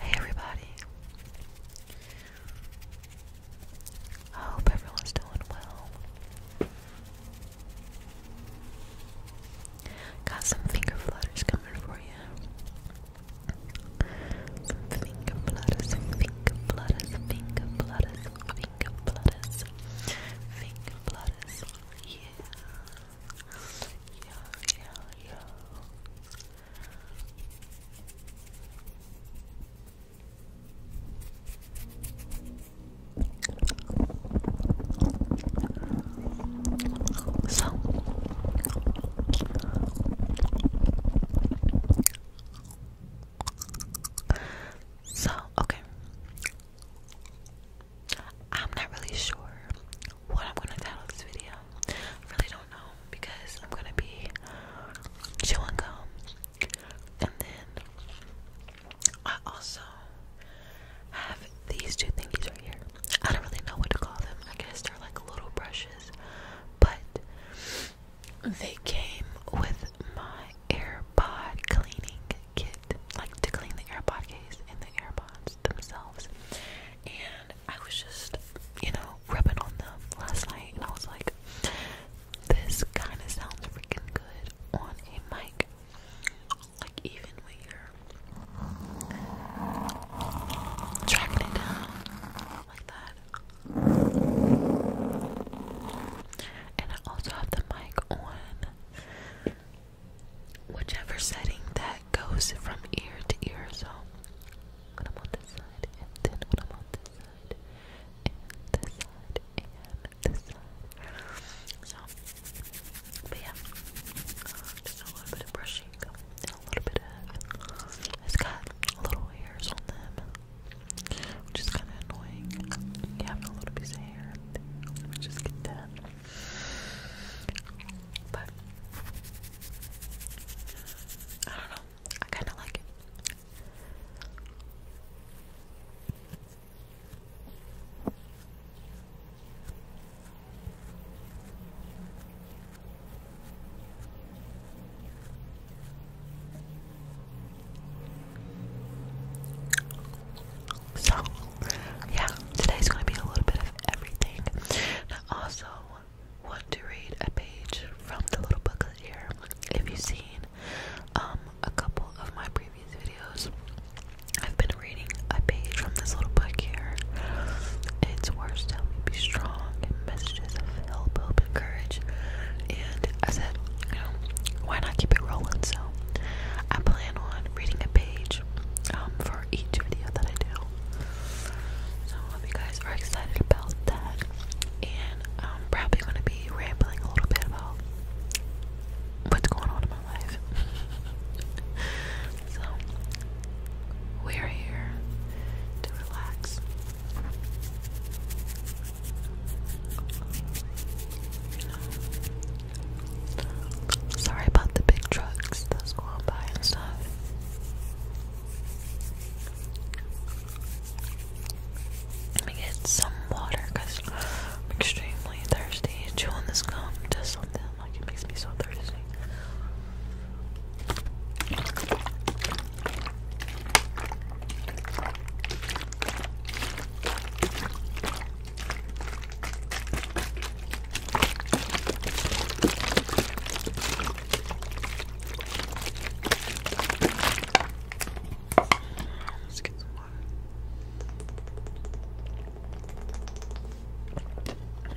Hey everybody. I hope everyone's doing well. Got some finger flutters coming for you. finger flutters, finger flutters, finger flutters, finger flutters, finger flutters. Yeah. So so okay I'm not really sure what I'm gonna title this video. I really don't know because I'm gonna be chewing gum. And then I also have these two thingies right here. I don't really know what to call them. I guess they're like little brushes, but they came with my AirPod cleaning kit, like to clean the AirPod case and the AirPods themselves. And I was just, you know, rubbing on the last night, and I was like, this kind of sounds freaking good on a mic. Like, even when you're tracking it down like that. And I also have the mic on whichever setting that goes from ear to ear. So when I'm on this side, and then when I'm on this side, and this side, and this side. So, yeah, just a little bit of brushing a little bit of. It's got little hairs on them, which is kind of annoying. You a little piece of hair, just get that. But I don't know. I kind of like it. So, yeah, today's gonna be a little bit of everything. I also want to read a page from the little book here. If you've seen um, a couple of my previous videos, I've been reading a page from this little book here. It's worse to help you be strong and messages of help, hope, and courage. And I said, you know, why not keep it rolling? So I plan on reading a page um, for each video that I do. So hope you guys are excited about that. And um, probably going to be rambling a little bit about what's going on in my life. so we're here to relax. Sorry about the big trucks that's going by and stuff. Let me get some water because I'm extremely thirsty. Chewing this gum does something like it makes me so thirsty. Let's get some water.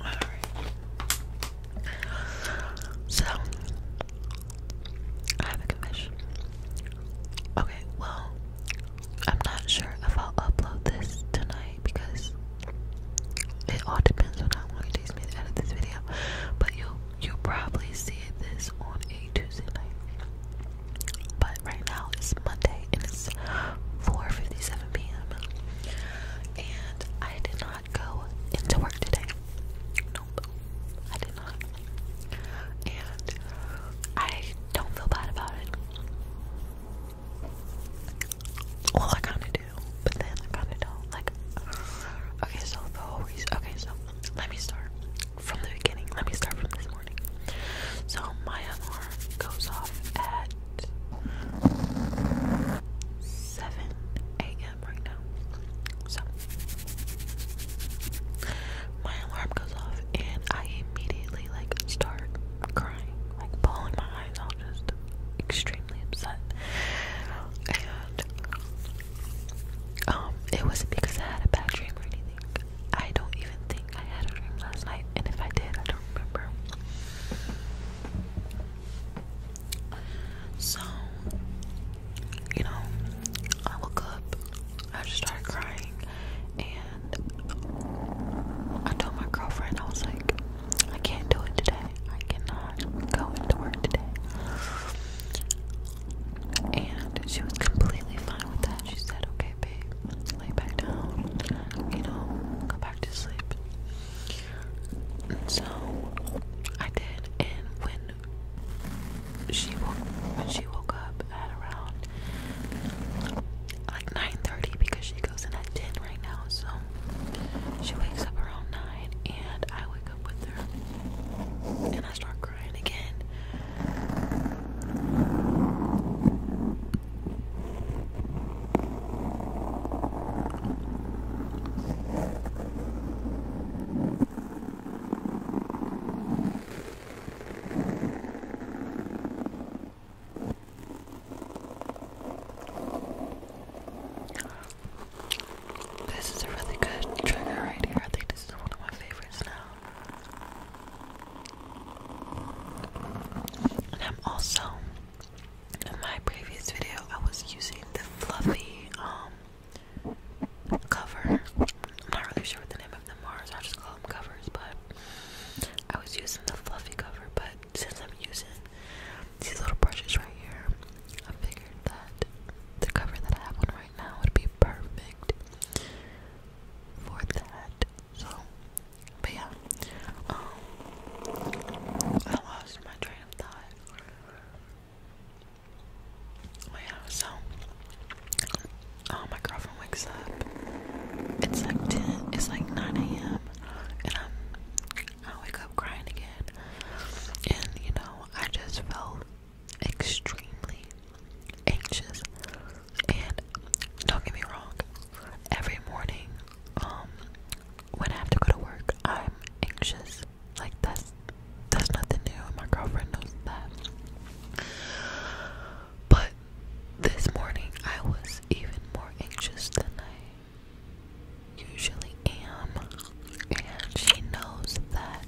Alright. So, I have a confession. Okay, well, I'm not sure if I'll upload this tonight because it all depends on how long it takes me to edit this video. But you'll you probably see this on a Tuesday night. But right now it's Monday and it's 4:57 p.m. And I did not go into work today. Nope, I did not. And I don't feel bad about it. Well, I kind of do, but then I kind of don't. Like, okay, so the whole reason. Okay, so let me start from the beginning. Let me start from this morning. So my alarm goes off at 7 a.m. right now. So my alarm goes off, and I immediately like start crying, like bawling my eyes out, just extremely upset. And um, it wasn't because I had a bad dream or anything. I don't even think I had a dream last night, and if I did, I don't remember. So, you know, I woke up, I just started crying, and I told my girlfriend I was like, I can't do it today. I cannot go into work today. And she was completely fine with that. She said, Okay, babe, lay back down, you know, go back to sleep. And so I did and when she woke she woke up at around like 9:30 because she goes in at 10 right now. So she wakes up around 9 and I wake up with her and I start crying again. This is a really good trigger right here. I think this is one of my favorites now. And I'm also in my previous video I was using the fluffy um cover. I'm not really sure what the name of the Mars. i just call covers, but I was using the fluffy cover. But since I'm using these little brushes right here, I figured that the cover that I have on right now would be perfect for that. So, but yeah, um, I lost my train of thought. yeah, so, oh, my girlfriend wakes up. It's like ten. It's like nine a.m. and I'm. I wake up crying again, and you know I just felt extremely anxious. And don't get me wrong, every morning, um, when I have to go to work, I'm anxious. Like that's that's nothing new. And my girlfriend knows that. But this morning I was even more anxious than I usually am. And she knows that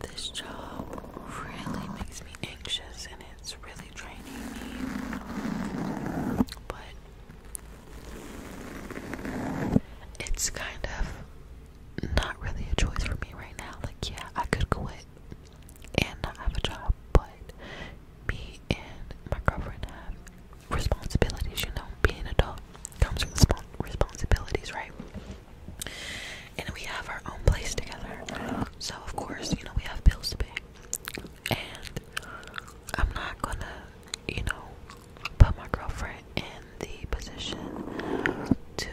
this job really makes me anxious and it's really draining me. But it's kind of not really a choice for me right now. Like, yeah, I could quit and not have a job, but me and my girlfriend have responsibilities, you know, being an adult comes with respons responsibilities, right? And we have our own place together. So of course, you know, we have bills to pay. And I'm not gonna, you know, put my girlfriend in the position to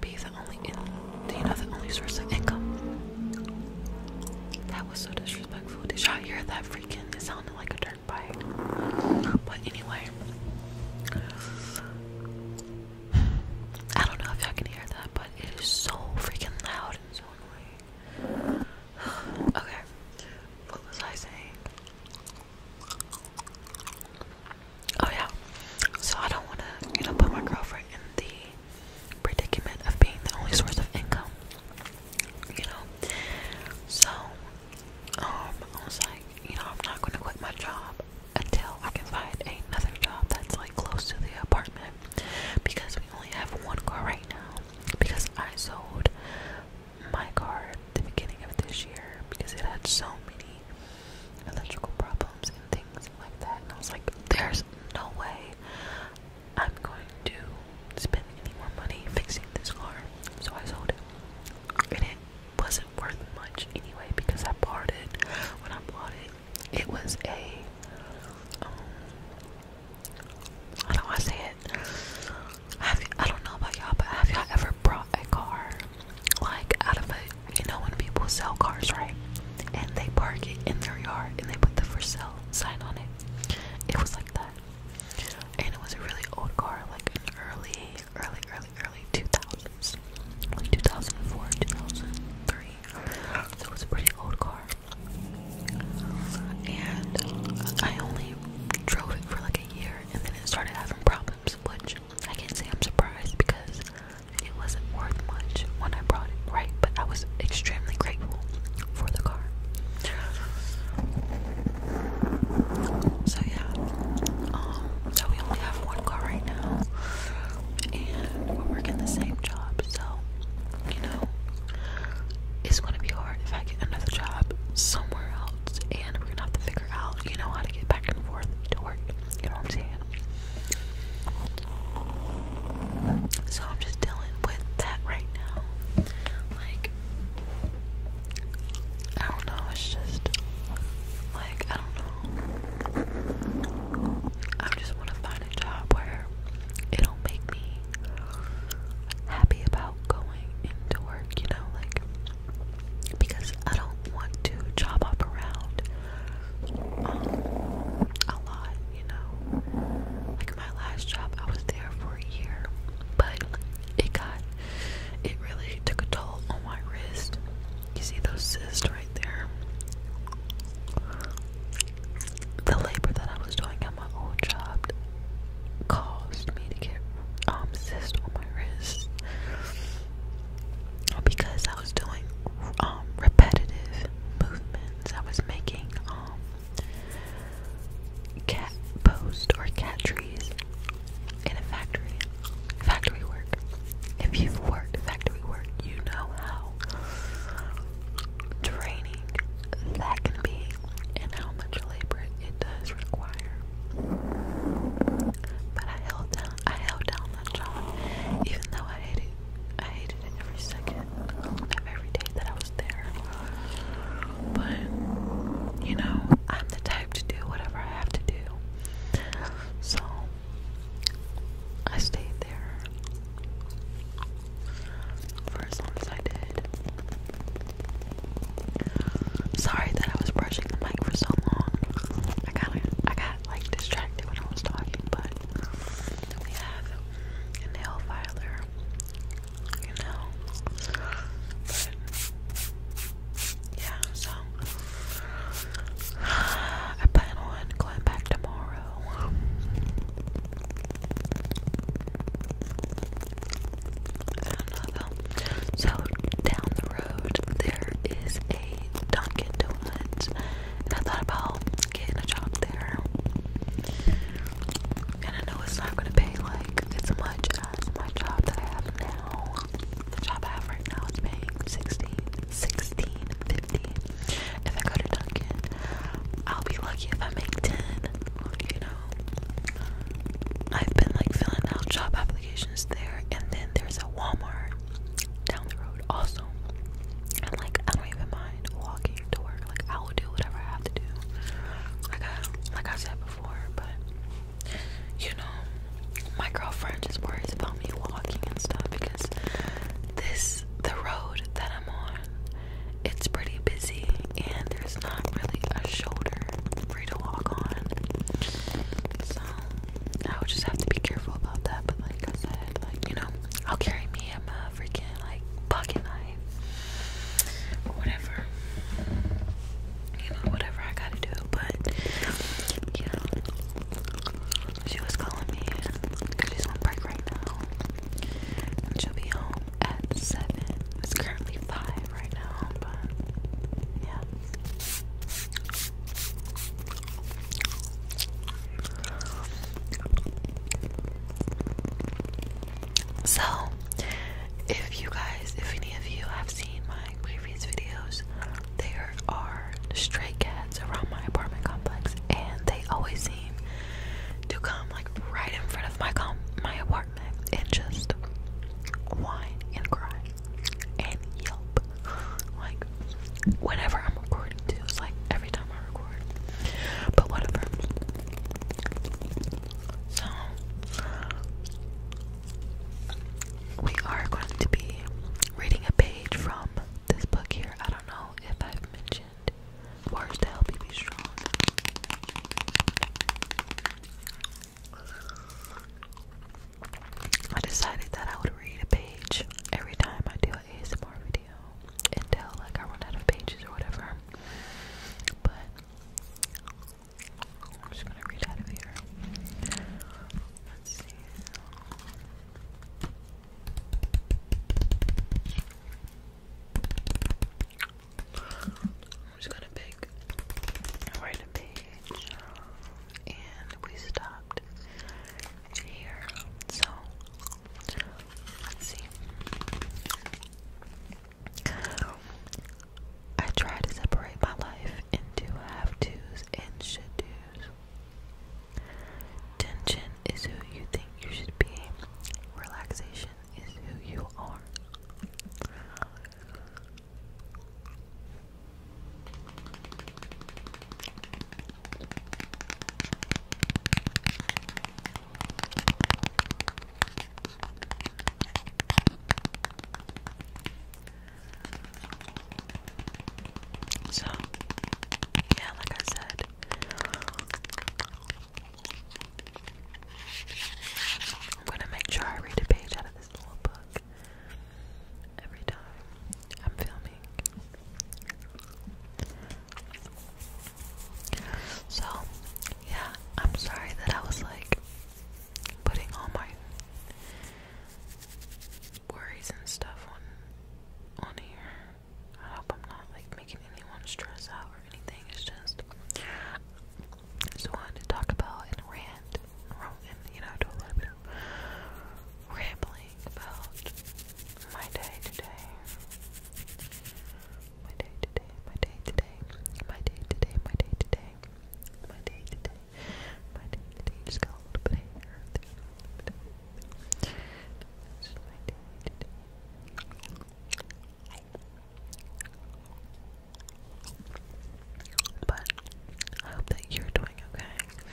be the only you know the only source of income. That was so disrespectful. Did y'all hear that freaking? It sounded like a dirt bike. But anyway, I don't know if y'all can hear that, but it is so freaking loud and so annoying. okay, what was I saying? Oh yeah. So I don't want to, you know, put my girlfriend in the predicament of being the only source of income. You know? So, um, I was like, you know, I'm not gonna quit my job until I can find another job that's like close to the apartment because we only have one car right now. Because I sold my car at the beginning of this year because it had so many electrical problems and things like that. And I was like, there's no way I'm going to spend any more money fixing this car. So I sold it. And it wasn't worth much anyway because I bought it. When I bought it, it was a. Um, how do I say it? Have, I don't know about y'all, but have y'all ever brought a car like out of a. You know, when people sell cars, right? and they park it in their yard and they put the for sale sign on it. It was like that. And it was a really old car, like early, early, early, early 2000s. Like 2004, 2003. So it was a pretty old car. And I only drove it for like a year and then it started having problems, which I can't say I'm surprised because it wasn't worth much when I brought it, right? But I was extremely grateful for the car. So yeah, um, so we only have one car right now, and we're working the same job. So you know, it's gonna be hard if I get another job somewhere else, and we're gonna have to figure out, you know, how to get back and forth to work. You know what I'm saying? So I'm just dealing with that right now. Like, I don't know, it's just, like, I don't know. I just want to find a job where it'll make me happy about going into work, you know, like, because I don't want to job hop around um, a lot, you know. Like my last job, I was there for a year, but it got, it really took a toll on my wrist. You see those cysts right there. The labor that I was doing at my old job caused me to get um cysts on my wrist because I was doing um, repetitive movements. I was making um, cat post or cat trees in a factory. Factory work. If you've worked factory work, you know how draining that can be and how much labor it does require. But I held down I held down that job even though I hated I hated it every second of every day that I was there. But, you know, I'm the type to do whatever I have to do. So, I stayed there for as long as I did. Sorry that I was brushing the mic for so long. I kind of, I got like distracted when I was talking, but then we have a nail filer, you know. But yeah, so I plan on going back tomorrow. I So down the road there is a Dunkin' Donuts and I thought about getting a job there. And I know it's not gonna pay like as much as my job that I have now. The job I have right now is paying 16, 16, 50. If I go to Duncan, I'll be lucky if I make 10. You know, I've been like filling out job applications there, and then there's a Walmart down the road also. And like I don't even mind walking to work. Like I will do whatever I have to do. Like I said before, but you know, my girlfriend just worries about me walking and stuff because this the road that I'm on, it's pretty busy and there's not really a shoulder for to walk on. So I would just have to be careful about that, but like I said, like, you know, I'll carry me am a uh, freaking like pocket knife or whatever. You know, whatever I gotta do, but you she was calling me because she's on break right now, she'll be home at seven. It's currently five right now, but yeah. So, if you guys, if any of you have seen my previous videos, there are stray cats around my apartment complex, and they always seem to come like right in front of my com my apartment and just whine and cry and yelp like whenever I'm recording It's like every time I record. But whatever. So we are going to be reading a page from this book here. I don't know if I've mentioned words to help you be strong. I decided that I would read a page every time I do an ASMR video video until like I run out of pages or whatever. But I'm just gonna read out of here. Let's see. I'm just gonna pick right a page and we stopped here. So let's see. I try to separate my life into have tos and should dos. Tension is who you think you should be. Relaxation is who you are. So, yeah, like I said, I'm going to make sure I read a page out of this little book every time I'm filming so, yeah, I'm sorry that I was like putting all my worries and stuff on on here. I hope I'm not like making anyone stress out or anything. It's just just wanted to talk about and rant, and you know, do a little bit of rambling about my day today. My day today, my day today, my day today, my day today, my day today, Just got a little But I hope that you're doing okay.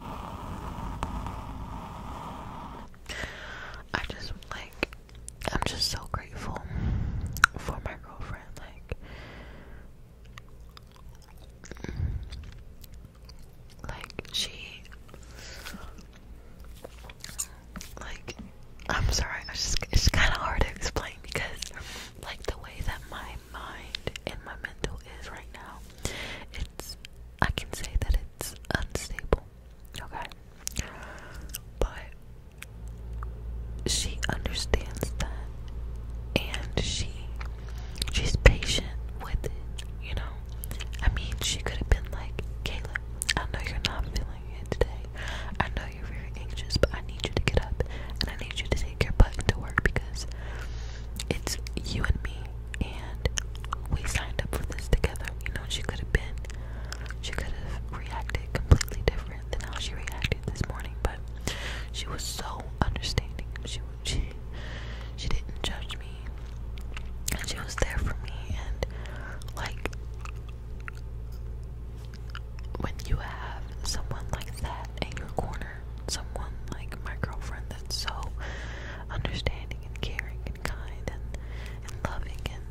I just like I'm just so grateful for my girlfriend like like she like I'm sorry I just it's kind of hard to explain because like the way that my mind and my mental is right now it's I can say that it's unstable, okay? But she understands that and she she's patient with it, you know. I mean she could have been like, "Caleb, I know you're not feeling it today. I know you're very anxious, but I need you to get up and I need you to take your butt to work because it's you and me and we signed up for this together. You know, she could have been, she could have reacted completely different than how she reacted this morning, but she was so understanding. She she she didn't judge me, and she was there for me. And like when you have someone like that in your corner, someone like my girlfriend that's so understanding and caring and kind and, and loving and,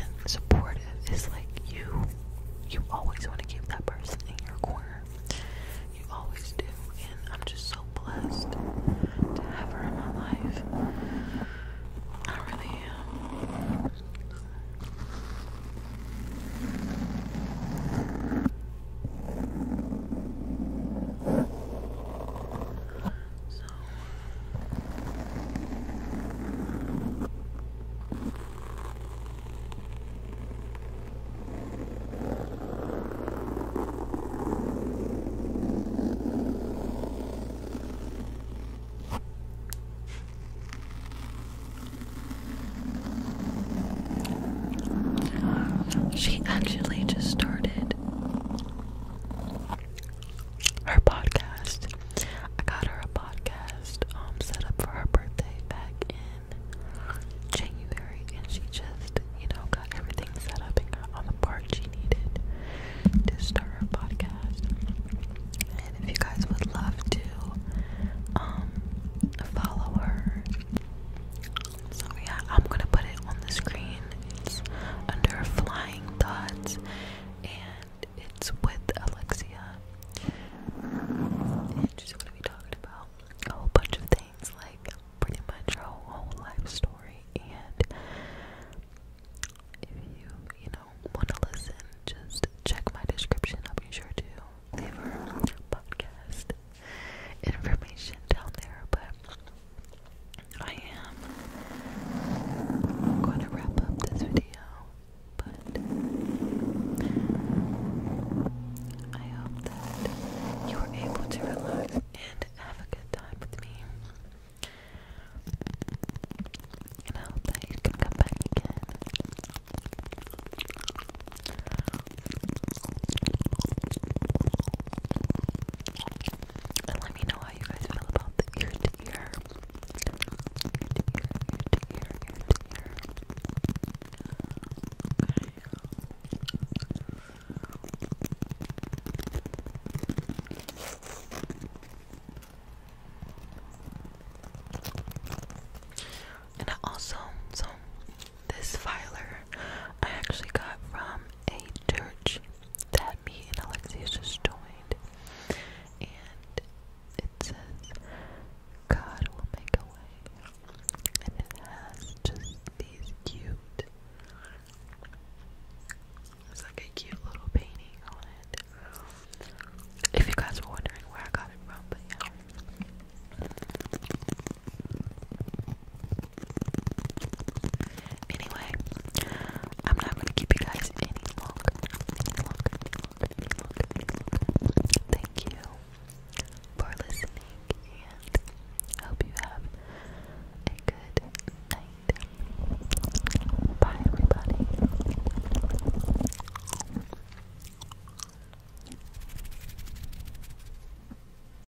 and supportive is like you you always want to keep that person in your corner. You always do. And I'm just so blessed to have her in my life. I really am she actually just started her podcast. I got her a podcast um, set up for her birthday back in January and she just, you know, got everything set up and the parts she needed to start her podcast. And if you guys would love to um, follow her so yeah, I'm gonna put it on the screen. It's under Flying Thoughts, and it's with Alexia. And she's gonna be talking about a whole bunch of things, like pretty much her whole life story. And if you, you know, wanna listen, just check my description. I'll be sure to leave her podcast information down there, but I am going to wrap up this video. But I hope that you were able to relax and have a good time with me. And I hope that you can come back again. And let me know how you guys feel about the ear to ear. And I also, so this filer I actually got from a church that me and Alexia just joined. And it says, God will make a way. And it has just these cute, it's like a cute little painting on it. If you guys were wondering where I got it from, but yeah. Anyway, I'm not gonna keep you guys any longer. Thank you for listening and I hope you have a good night. Bye everybody.